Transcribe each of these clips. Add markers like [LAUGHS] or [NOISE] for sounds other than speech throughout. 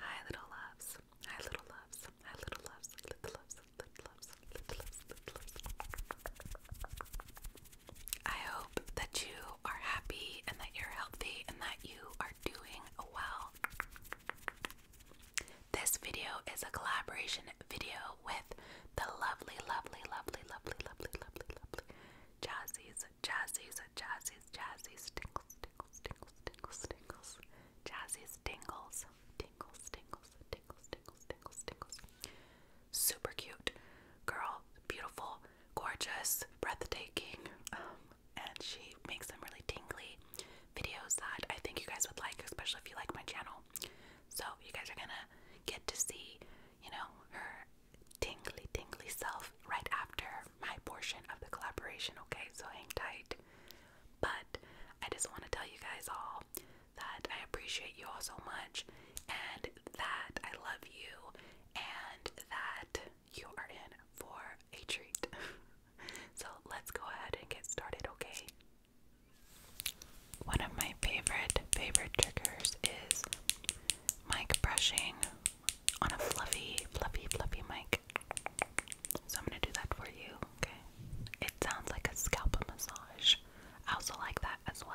Hi, little loves. Hi, little loves. Hi, little loves. Little loves. Little loves. Little loves. Little loves. I hope that you are happy and that you're healthy and that you are doing well. This video is a collaboration video with the lovely, lovely, lovely, lovely, lovely, lovely, lovely, Jazzy's, Jazzy's, Jazzy's, Jazzy's Tingles tingles, tingles, tingles, tingles. Jazzy's tingles. Tingles, tingles, tingles, tingles, tingles, tingles. Super cute girl, beautiful, gorgeous, breathtaking. Um, and she makes some really tingly videos that I think you guys would like, especially if you like my channel. So you guys are gonna get to see, you know, her tingly, tingly self right after my portion of the collaboration, okay? So hang tight. But I just want to tell you guys all that I appreciate you all so much and that I love you and that you are in for a treat. [LAUGHS] so let's go ahead and get started, okay? One of my favorite, favorite triggers is mic brushing on a fluffy, fluffy, fluffy mic. So I'm gonna do that for you, okay? It sounds like a scalp massage. I also like that as well.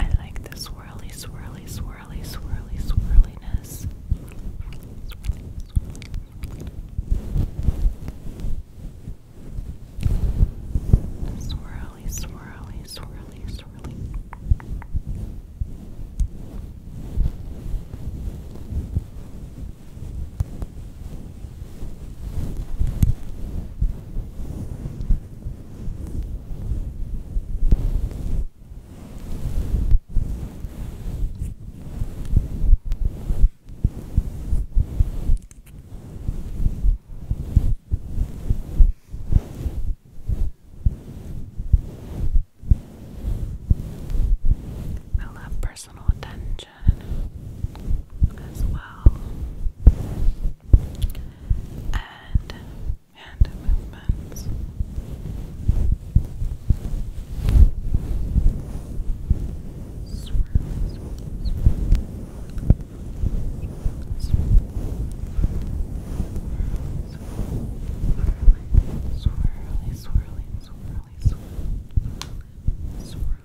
I like the swirly, swirly, swirly, swirly, swirliness. Swirly, swirly, swirly, swirly. I love personal attention attention as well, and hand movements. swirly, swirly, swirly, swirly, swirly, swirly, swirly, swirly, swirly, swirly,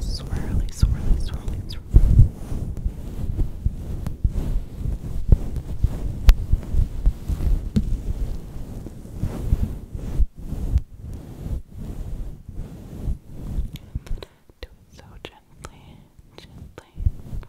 Swirly, swirly, swirly, swirly. Do it so gently, gently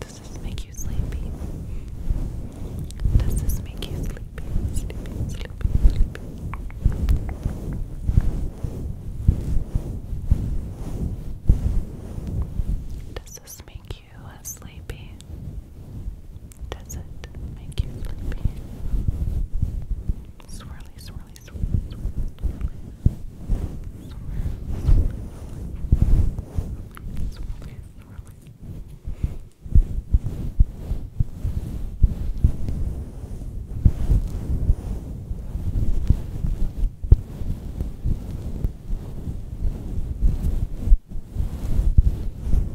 Does this make you sleepy? Does this make you sleepy? Sleepy, Does this make you sleepy? Does it make you sleepy? Swirly, swirly, swirly, swirly, swirly. Swirly, swirly, swirly. Swirly, swirly.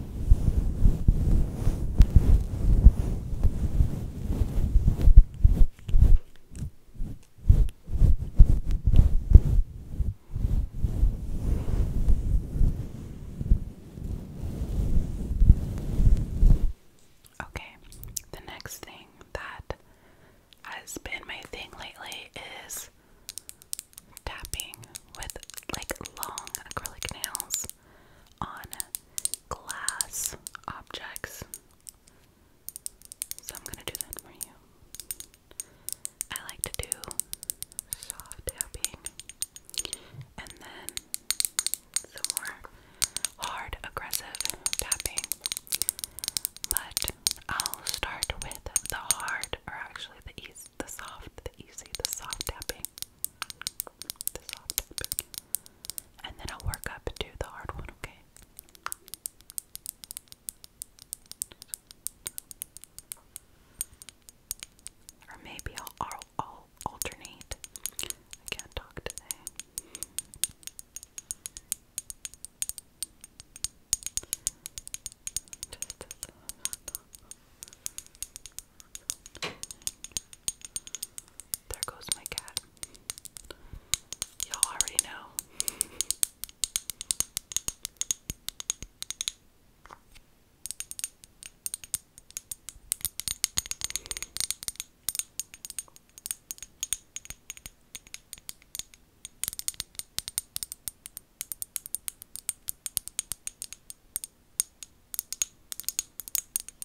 Okay, the next thing that has been my thing lately is tapping with like long acrylic nails on glass objects. So I'm gonna do that for you. I like to do soft tapping and then some more hard, aggressive tapping. But I'll start with the hard, or actually the easy, the soft, the easy, the soft tapping. And then I'll work up to the hard one, okay? Or maybe I'll, I'll, alternate. I can't talk today. There goes my cat. Y'all already know.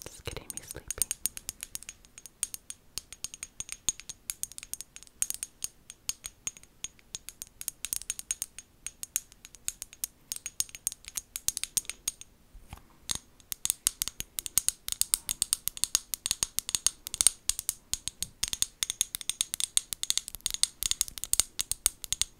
It's getting me sleepy.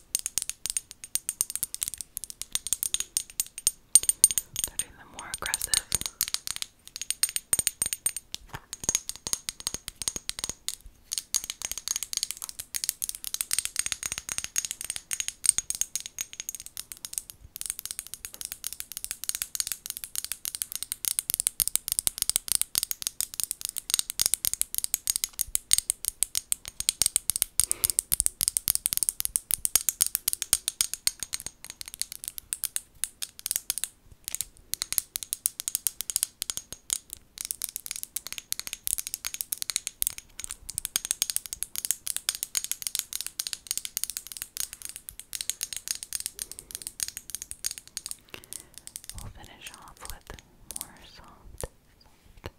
They're doing them more aggressive. We'll finish off with more soft,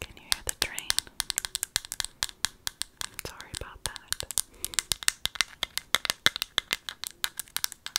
Can you hear the train? Sorry about that.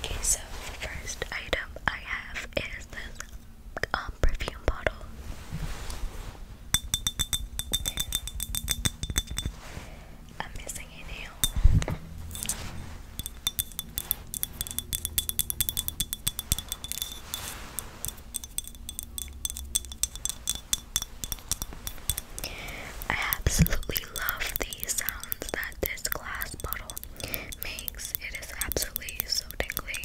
Okay, so first item I have is this um, perfume bottle. I'm missing a nail. I absolutely love the sounds that this glass bottle makes. It is absolutely so tingly.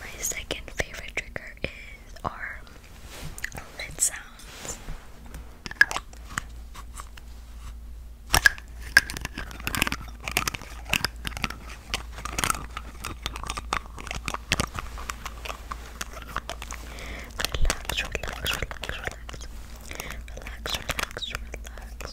My second favorite trigger is our lid sounds. Relax, relax, relax, relax. Relax, relax, relax.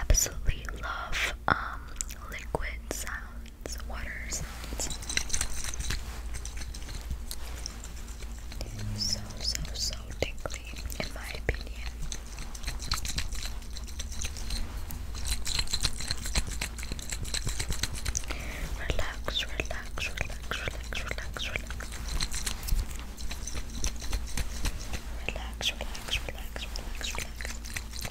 absolutely love um liquid sounds, water sounds. So so so tingly in my opinion. Relax, relax, relax, relax, relax, relax. Relax, relax, relax, relax, relax.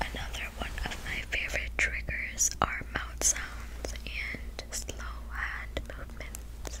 Another one of my favorite triggers are mouth sounds and slow hand movements.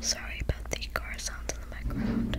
Sorry about the car sounds in the background.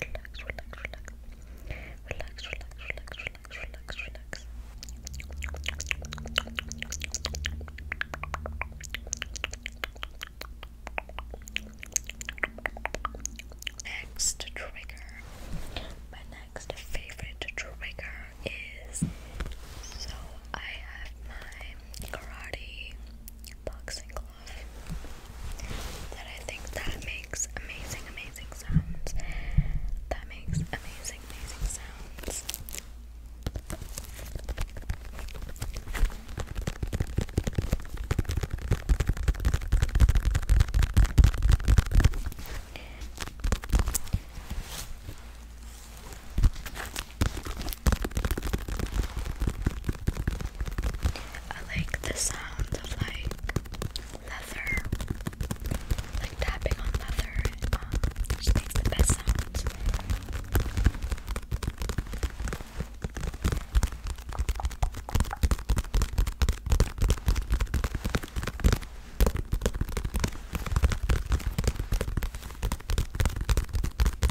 relax, relax, relax. Relax, relax, relax, relax, relax, Next trigger. My next favorite trigger is so I have my karate boxing glove that I think that makes amazing, amazing sounds. That makes amazing, amazing sounds. I like the sound of like leather, like tapping on leather. Um, it makes the best sounds.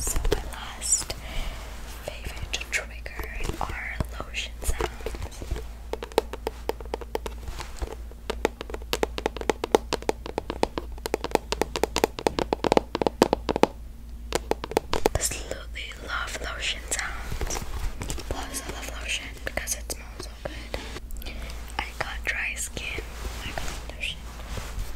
So my last favorite trigger are lotion sounds. Absolutely love lotion sounds. Plus, I love lotion because it smells so good. I got dry skin. I got lotion.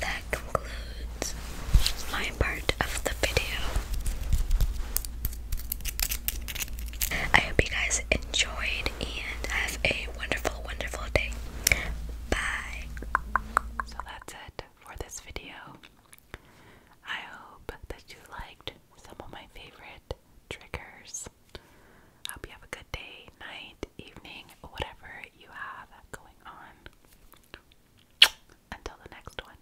That concludes my part of the video. I hope you guys enjoyed and have a wonderful, wonderful day. Bye. So that's it for this video. I hope that you liked some of my favorite triggers. hope you have a good day, night, evening, whatever you have going on. Until the next one.